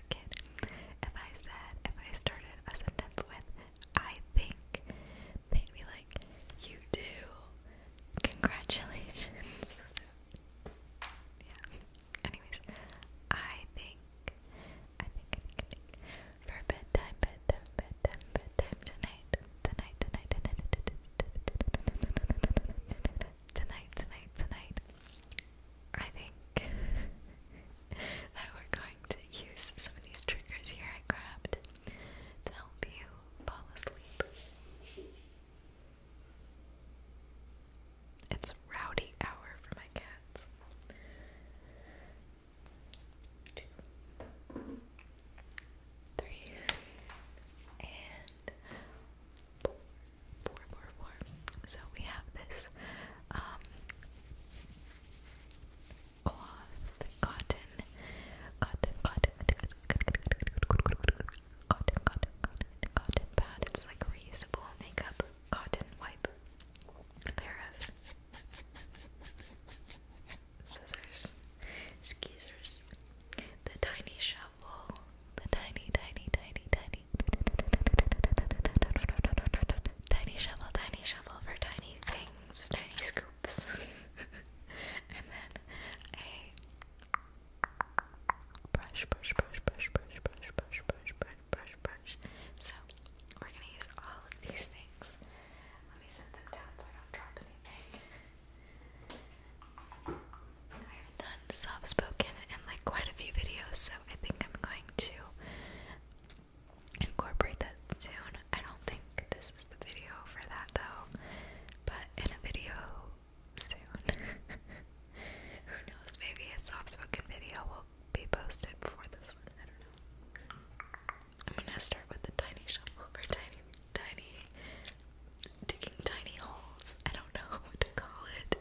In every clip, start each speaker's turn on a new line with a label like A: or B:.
A: if I said, if I started a sentence with, I think, they'd be like, you do. Congratulations. yeah. Anyways, I think, I think, I think, I think, for bedtime, bedtime, bedtime, bedtime, tonight, tonight, tonight, tonight, tonight, tonight, tonight, tonight, tonight I think that we're going to use some of these triggers here I grabbed to help you fall asleep. It's rowdy hour for my cats. Two, three, and four, four, four, four. So we have this um, cotton, cotton, cotton, cotton, cotton, cotton, cotton, cotton pad. It's like reusable makeup cotton wipe. A pair of scissors, skeezers, the tiny shovel, the tiny, tiny, tiny, tiny, tiny, shovel, tiny shovel for tiny things, tiny scoops, and then a brush, brush, brush, brush, brush, brush, brush, brush, brush, brush, brush. So we're gonna use all of these things. Let me set them down so I don't drop anything. I have done soft spoken in like quite a few videos, so I think I'm going to incorporate that soon. I don't think this is the video for that though, but in a video soon. Who knows? Maybe a soft spoken video will be posted before this one. I don't know. I'm gonna start with the tiny shovel for tiny, tiny, digging tiny holes. I don't know what to call it.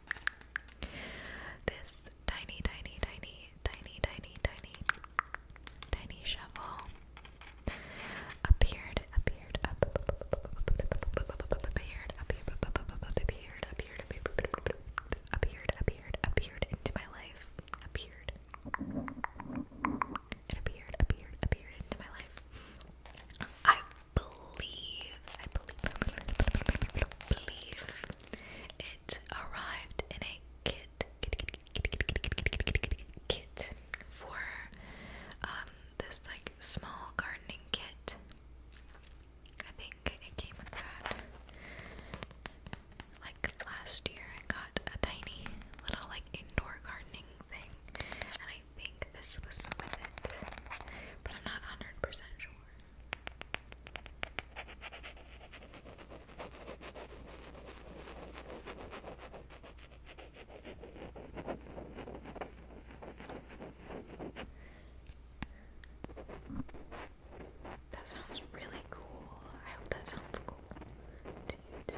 A: This tiny, tiny, tiny, tiny, tiny, tiny, tiny shovel appeared, appeared, appeared, appeared, appeared, appeared, appeared, appeared, appeared, appeared into my life, appeared. It appeared, appeared, appeared into my life. I believe, I believe, believe it arrived in a kit, kit, kit, for um this like small gardening kit. I think it came with that. Like last year, I got a tiny little like indoor gardening thing, and I think this was some but I'm not 100% sure. That sounds really cool. I hope that sounds cool to you too.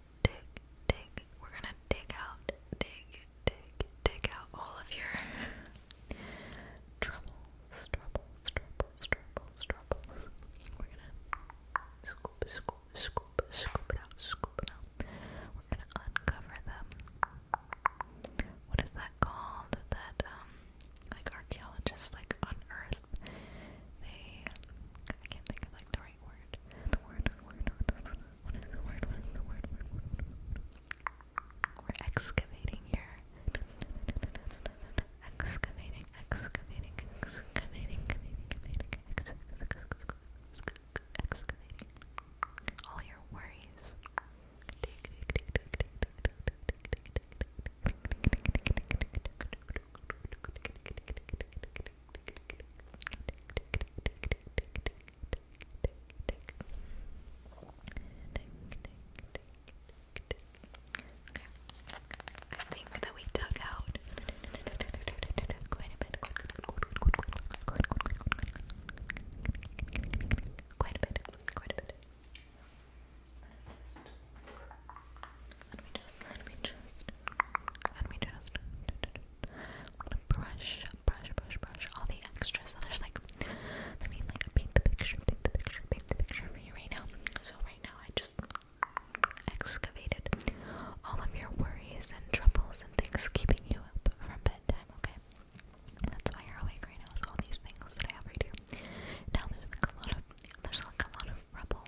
A: dig, dig. We're gonna dig out, dig, dig, dig out all of your troubles, troubles, troubles, troubles, troubles. We're gonna scoop, scoop, scoop, scoop it out, scoop it out. We're gonna uncover them. What is that called? That um, like archaeologists like unearth. They, I can't think of like the right word. The word, the word, the word. What is the word? the word? word, word, word. We're excavating here. Excavating, excavating, excavating, excavating, excavating. All your worries. I think that we dug out quite a bit, quite a bit, quite a bit. Let me just, let me just let me just brush, brush, brush, brush all the extras. So there's like, let me like paint the picture, paint the picture, paint the picture for you right now. So right now I just excavated all of your worries and troubles and things keeping you up from bedtime, okay? That's why you're awake right now, is all these things that I have right here. Now there's like a lot of, there's like a lot of rubble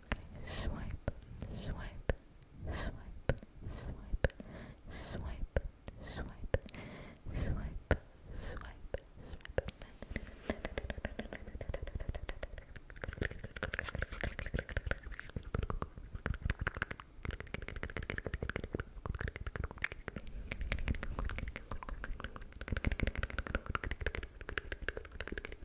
A: Okay, swipe, swipe, swipe, swipe, swipe, swipe, swipe, swipe, swipe.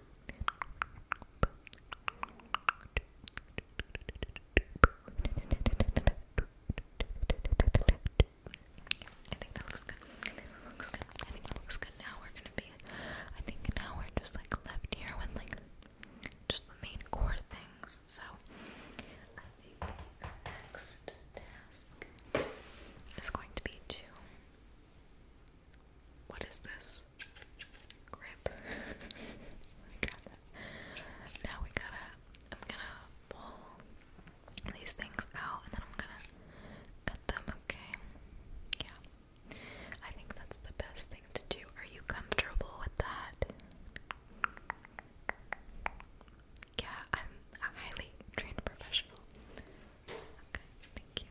A: I think that looks good. I think that looks good. I think that looks good. Now we're gonna be. I think now we're just like left here with like just the main core things. So next task is going to be to what is this? Grip. I got that. Now we gotta. I'm gonna pull these things out and then I'm gonna cut them, okay? Yeah. I think that's the best thing to do. Are you comfortable with that? Yeah, I'm a highly trained professional. Okay, thank you.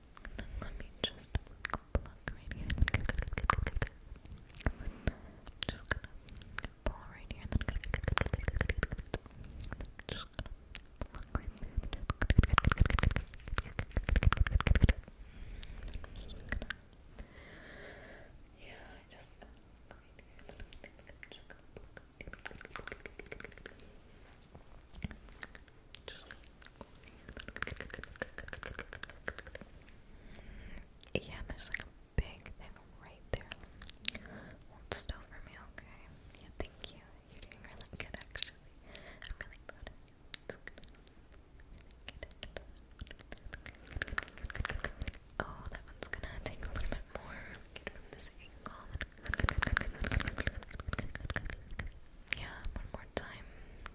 A: And then let me just pluck right here. And then just gonna pull right here. And then just gonna pluck right there. Just gonna yeah, I just go right here. And then I'm just uh, gonna pluck. Right yeah, there's like a big thing right there. Hold still for me, okay? Yeah, thank you. You're doing really good, actually. I'm really proud Oh, that one's gonna take a little bit more. from this angle. Yeah, one more time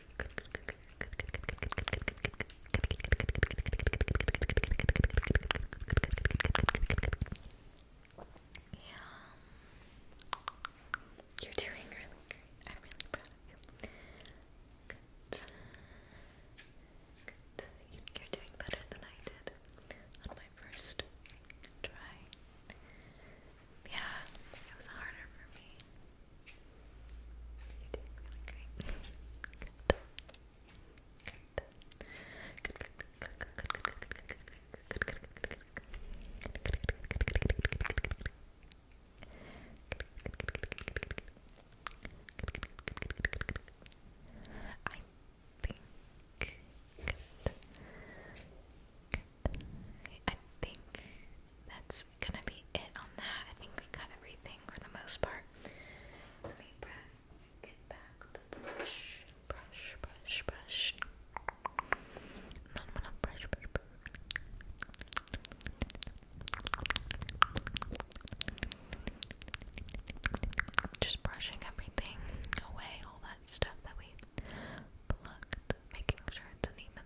A: Yeah. You're doing great. I'm really proud You're doing better than I did on my first try. Yeah, it was harder for me. You're doing really that's gonna be it on that. I think we got everything for the most part. Let me get back the brush, brush, brush, brush. And I'm brush, brush, brush. Just brushing everything away, all that stuff that we plucked, making sure it's even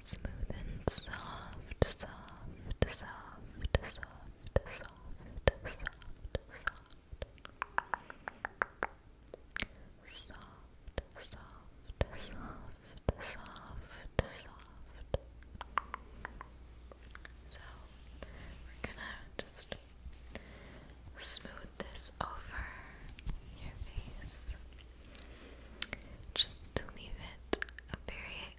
A: Smooth and soft, soft, soft, soft, soft, soft, soft. Soft, soft, soft, soft, soft. So we're gonna just smooth this over your face. Just to leave it a very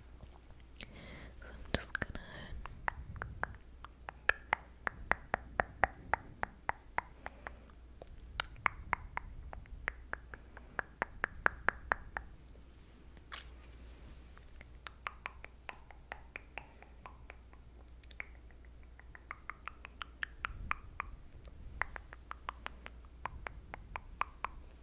A: So I'm just gonna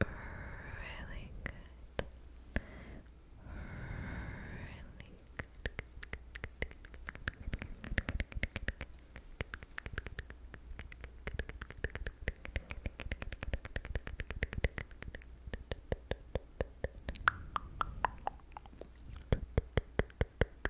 A: Really good. Really good.